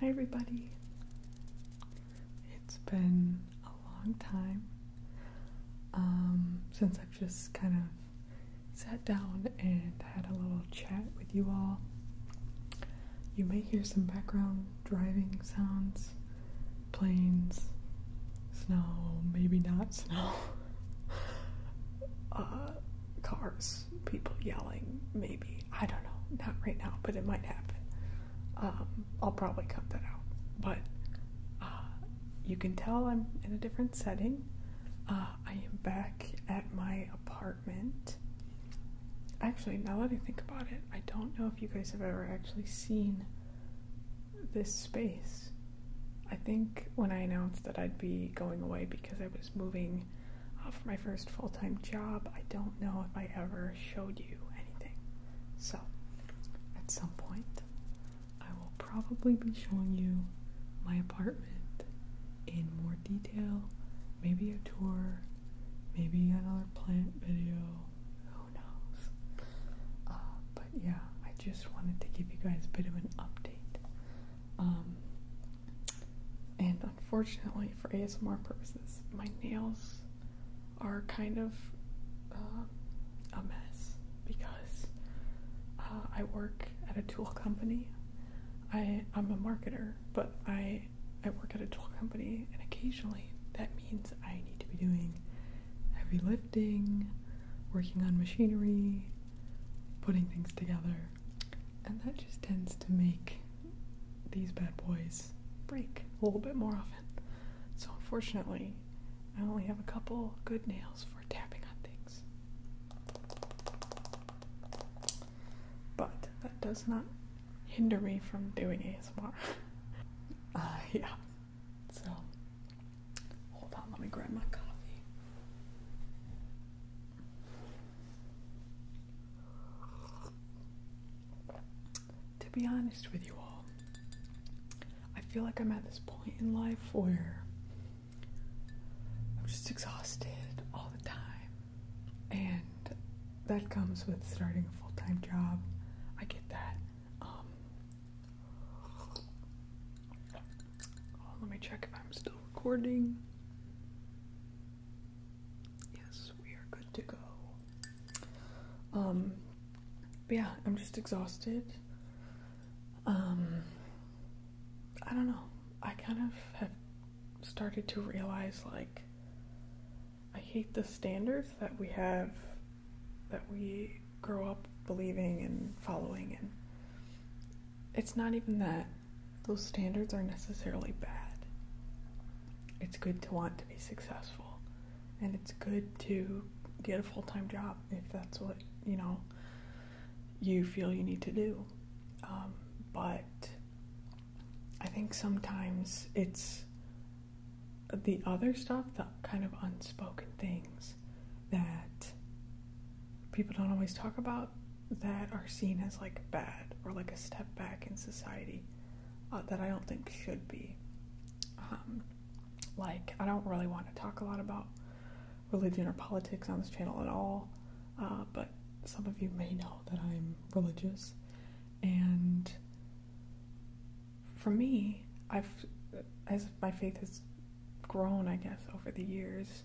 Hi, everybody. It's been a long time um, since I've just kind of sat down and had a little chat with you all. You may hear some background driving sounds, planes, snow, maybe not snow. Uh, cars, people yelling, maybe. I don't know. Not right now, but it might happen. Um, I'll probably cut that out. But uh, you can tell I'm in a different setting. Uh, I am back at my apartment. Actually, now that I think about it, I don't know if you guys have ever actually seen this space. I think when I announced that I'd be going away because I was moving doing for my first full time job. I don't know if I ever showed you anything. So, at some point, I will probably be showing you my apartment in more detail. Maybe a tour, maybe another plant video. Who knows? Uh, but yeah, I just wanted to give you guys a bit of an update. Um, and unfortunately, for ASMR purposes, my nails are kind of uh, a mess because uh, I work at a tool company. I, I'm a marketer, but I, I work at a tool company, and occasionally that means I need to be doing heavy lifting, working on machinery, putting things together, and that just tends to make these bad boys break a little bit more often. So, unfortunately, I only have a couple good nails for tapping on things. But that does not hinder me from doing ASMR. uh, yeah. So, hold on, let me grab my coffee. To be honest with you all, I feel like I'm at this point in life where I'm just exhausted all the time. And that comes with starting a full time job. I get that. Um, Oh, let me check if I'm still recording. Yes, we are good to go. Um, yeah, I'm just exhausted. Um, I don't know. I kind of have started to realize like I hate the standards that we have that we grow up believing and following and it's not even that those standards are necessarily bad. It's good to want to be successful, and it's good to get a full time job if that's what you know you feel you need to do. Um, but I think sometimes it's the other stuff, the kind of unspoken things that people don't always talk about that are seen as like bad or like a step back in society uh, that I don't think should be. Um, like, I don't really want to talk a lot about religion or politics on this channel at all, uh, but some of you may know that I'm religious. And for me, I've, as my faith has grown, I guess, over the years,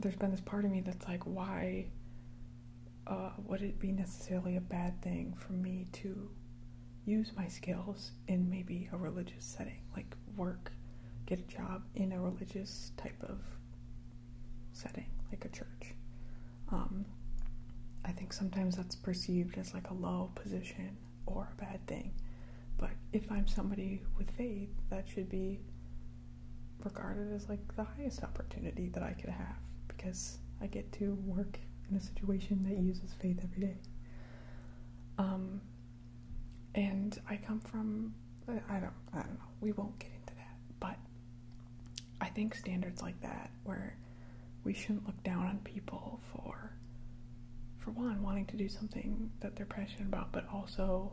there's been this part of me that's like, why uh, would it be necessarily a bad thing for me to use my skills in maybe a religious setting, like work, get a job in a religious type of setting, like a church? Um, I think sometimes that's perceived as like a low position or a bad thing. But if I'm somebody with faith, that should be regarded as like the highest opportunity that I could have because I get to work in a situation that uses faith every day. Um, and I come from I don't I don't know. We won't get into that, but I think standards like that where we shouldn't look down on people for for one wanting to do something that they're passionate about but also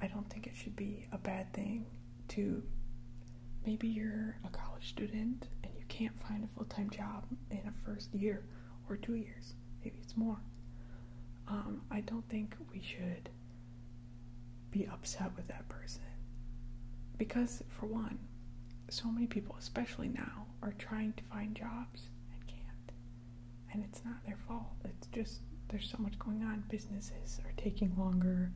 i don't think it should be a bad thing to maybe you're a college student and you can't find a full-time job in a first year or two years maybe it's more um, i don't think we should be upset with that person because for one so many people especially now are trying to find jobs and can't. And it's not their fault. It's just there's so much going on. Businesses are taking longer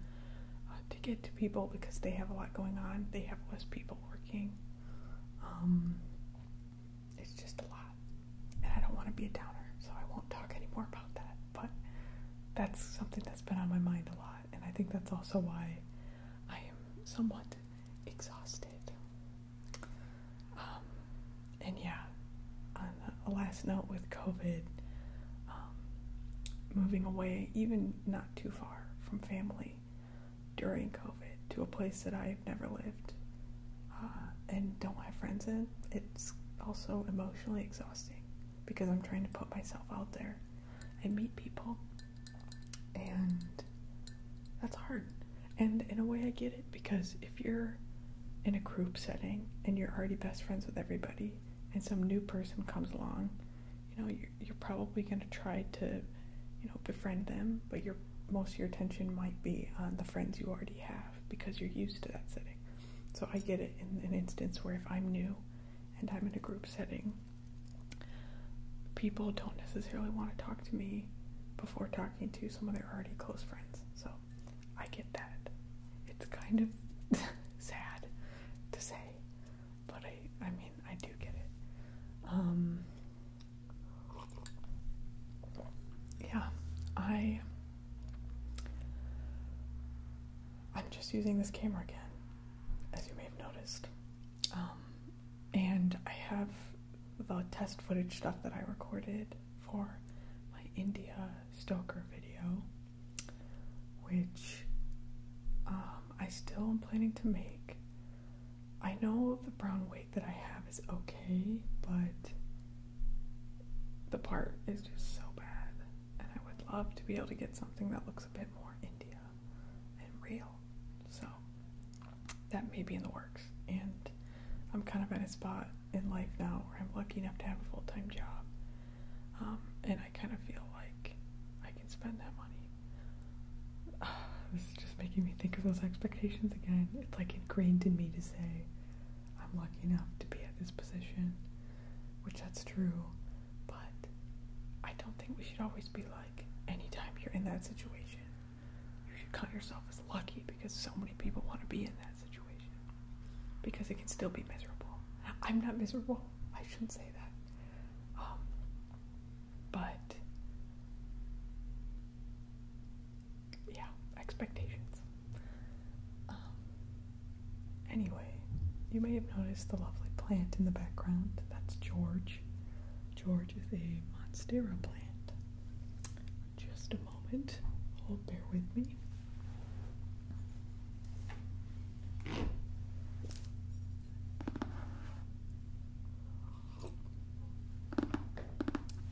uh, to get to people because they have a lot going on. They have less people working. Um, it's just a lot. And I don't want to be a downer, so I won't talk anymore about that. But that's something that's been on my mind a lot. And I think that's also why I am somewhat exhausted. Um, and yeah, a last note with COVID, um, moving away, even not too far from family during COVID, to a place that I've never lived uh, and don't have friends in, it's also emotionally exhausting because I'm trying to put myself out there I meet people, and that's hard. And in a way, I get it because if you're in a group setting and you're already best friends with everybody, and some new person comes along, you know, you're, probably going to try to, you know, befriend them, but your most your attention might be on the friends you already have because you're used to that setting. So I get it in an instance where if I'm new and I'm in a group setting, people don't necessarily want to talk to me before talking to some of their already close friends. So I get that. It's kind of sad to say, but I I mean I do get it. Um yeah, I I'm just using this camera again, as you may have noticed. Um, and I have the test footage stuff that I recorded for my India Stoker video, which um, I still am planning to make. I know the brown weight that I have is okay, but the part is just so bad, and I would love to be able to get something that looks a bit more India and real. So that may be in the works. And I'm kind of at a spot in life now where I'm lucky enough to have a full time job. Um, and I kind of feel like I can spend that money. this is just making me think of those expectations again. It's like ingrained in me to say, I'm lucky enough to be at this position, which that's true. But I don't think we should always be like, anytime you're in that situation, you should count yourself as lucky because so many people want to be in that situation. Because it can still be miserable. I'm not miserable. I shouldn't say that. Um, but, yeah, expectations. Um, Anyway, you may have noticed the lovely plant in the background. That's George. George is a Monstera plant. Just a moment. Oh, bear with me.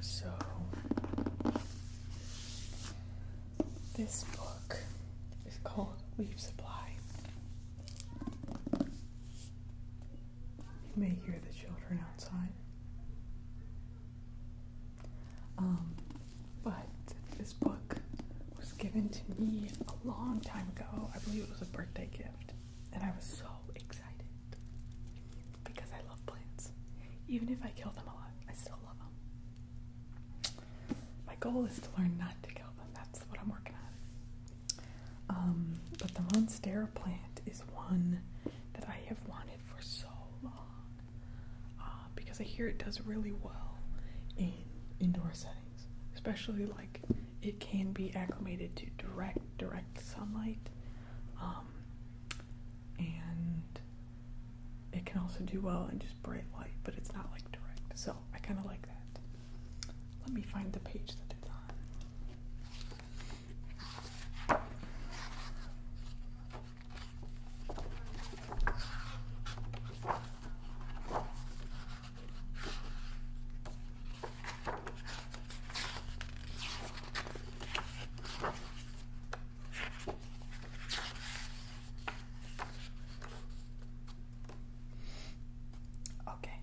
So, this book is called We've supply. You may hear the children outside. Um, but this book was given to me a long time ago. I believe it was a birthday gift, and I was so excited because I love plants. Even if I kill them a lot, I still love them my goal is to learn not to kill them. That's what I'm working on. Um, but the Monstera plant is one that I have wanted for so long uh, because I hear it does really well in indoor settings, especially like it can be acclimated to direct direct sunlight. Um, and it can also do well in just bright light, but it's not like direct. So I kind of like that. Let me find the page that it's on. Okay,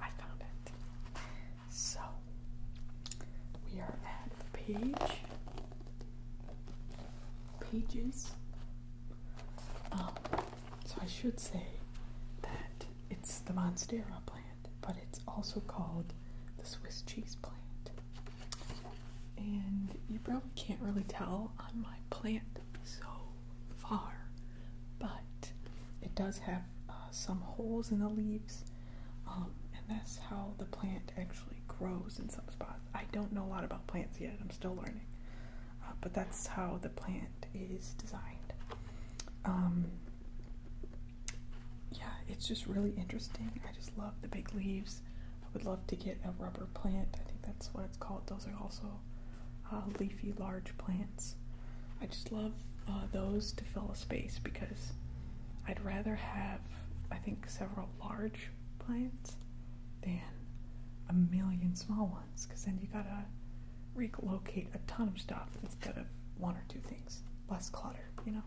I found it. So we are at page pages. Um, so I should say that it's the Monstera plant, but it's also called the Swiss cheese plant and you probably can't really tell on my plant so far, but it does have uh, some holes in the leaves, um, and that's how the plant actually grows in some spots. I don't know a lot about plants yet, I'm still learning, uh, but that's how the plant is designed. Um, yeah, it's just really interesting. I just love the big leaves. I would love to get a rubber plant. I think that's what it's called. Those are also uh, leafy, large plants. I just love uh, those to fill a space because I'd rather have, I think, several large plants than a million small ones because then you gotta relocate a ton of stuff instead of one or two things. Less clutter, you know?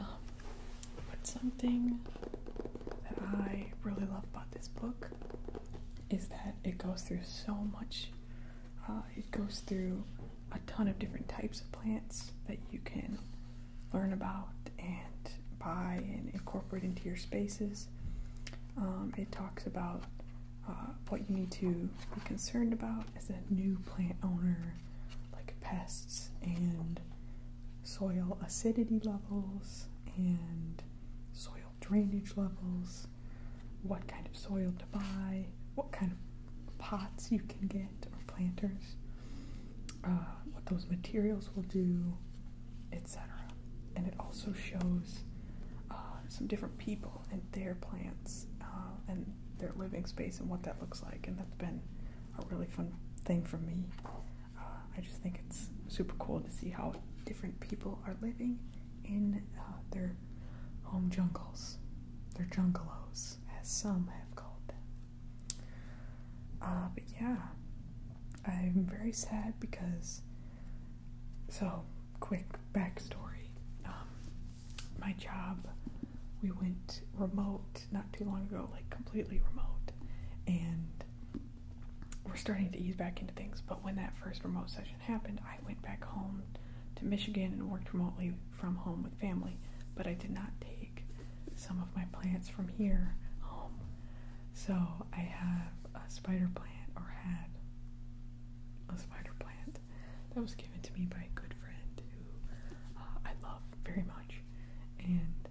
Um, but something that I really love about this book is that it goes through so much, uh, it goes through a ton of different types of plants that you can learn about and buy and incorporate into your spaces. Um, it talks about uh, what you need to be concerned about as a new plant owner, like pests and soil acidity levels and soil drainage levels, what kind of soil to buy, what kind of pots you can get or planters, uh, what those materials will do, etc. And it also shows uh, some different people and their plants uh, and their living space and what that looks like, and that's been a really fun thing for me. Uh, I just think it's super cool to see how different people are living in uh, their home jungles, their jungalos, as some have called them. Uh, but yeah, I'm very sad because. So, quick backstory. Um, my job, we went remote not too long ago, like completely remote, and we're starting to ease back into things. But when that first remote session happened, I went back home to Michigan and worked remotely from home with family, but I did not take some of my plants from here home. So I have a spider plant, or had a spider plant that was given to me by a good friend who uh, I love very much. And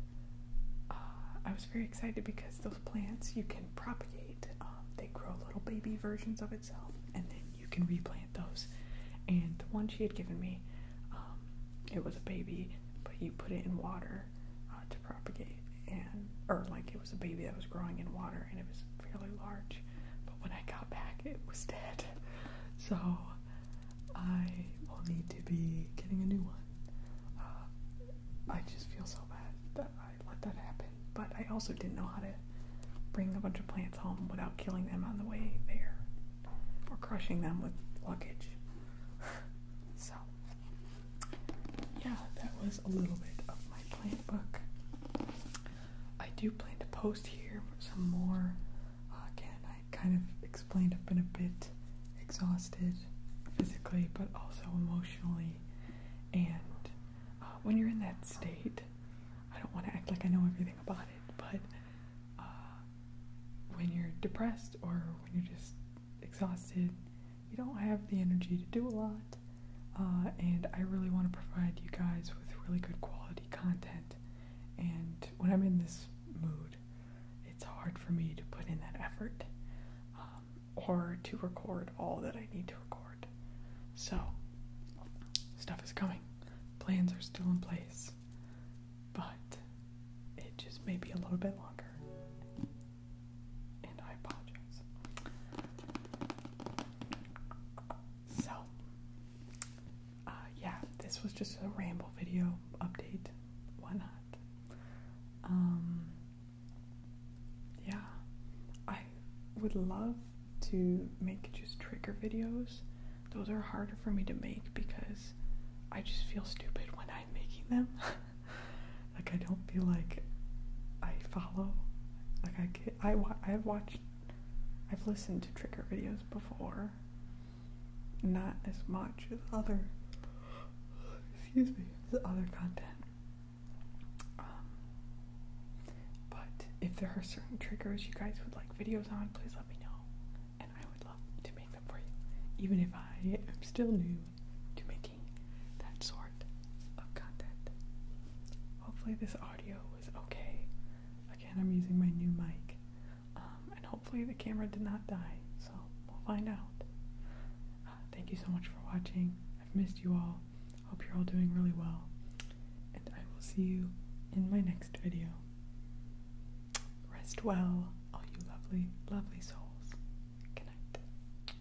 uh, I was very excited because those plants you can propagate, um, they grow little baby versions of itself, and then you can replant those. And the one she had given me, um, it was a baby, but you put it in water uh, to propagate, and or like it was a baby that was growing in water, and it was fairly large but when I got back, it was dead. So I will need to be getting a new one. Uh, I just feel so bad that I let that happen, but I also didn't know how to bring a bunch of plants home without killing them on the way there or crushing them with luggage. so, yeah, that was a little bit of my plant book. I do plan to post here some more. Uh, again, I kind of explained I've been a bit exhausted physically, but also emotionally. And uh, when you're in that state, I don't want to act like I know everything about it, but uh, when you're depressed or when you're just exhausted, you don't have the energy to do a lot. and I really want to provide you guys with really good quality content. And when I'm in this mood, it's hard for me to put in that effort um, or to record all that I need to record. So, stuff is coming. Plans are still in place, but it just may be a little bit longer. And I apologize. So, uh, yeah, this was just a ramble video update. Why not? Um, yeah, I would love to make just trigger videos. Those are harder for me to make because I just feel stupid when I'm making them. like I don't feel like I follow. Like I get, I I have watched I've listened to trigger videos before, not as much as other. Excuse me, as other content. Um, but if there are certain triggers you guys would like videos on, please let me know, and I would love to make them for you, even if I am still new to making that sort of content. Hopefully, this audio was okay. Again, I'm using my new mic. Um, and hopefully the camera did not die, so we'll find out. Uh, thank you so much for watching. I've missed you all. Hope you're all doing really well. And I will see you in my next video. Rest well, all you lovely, lovely souls. Good night.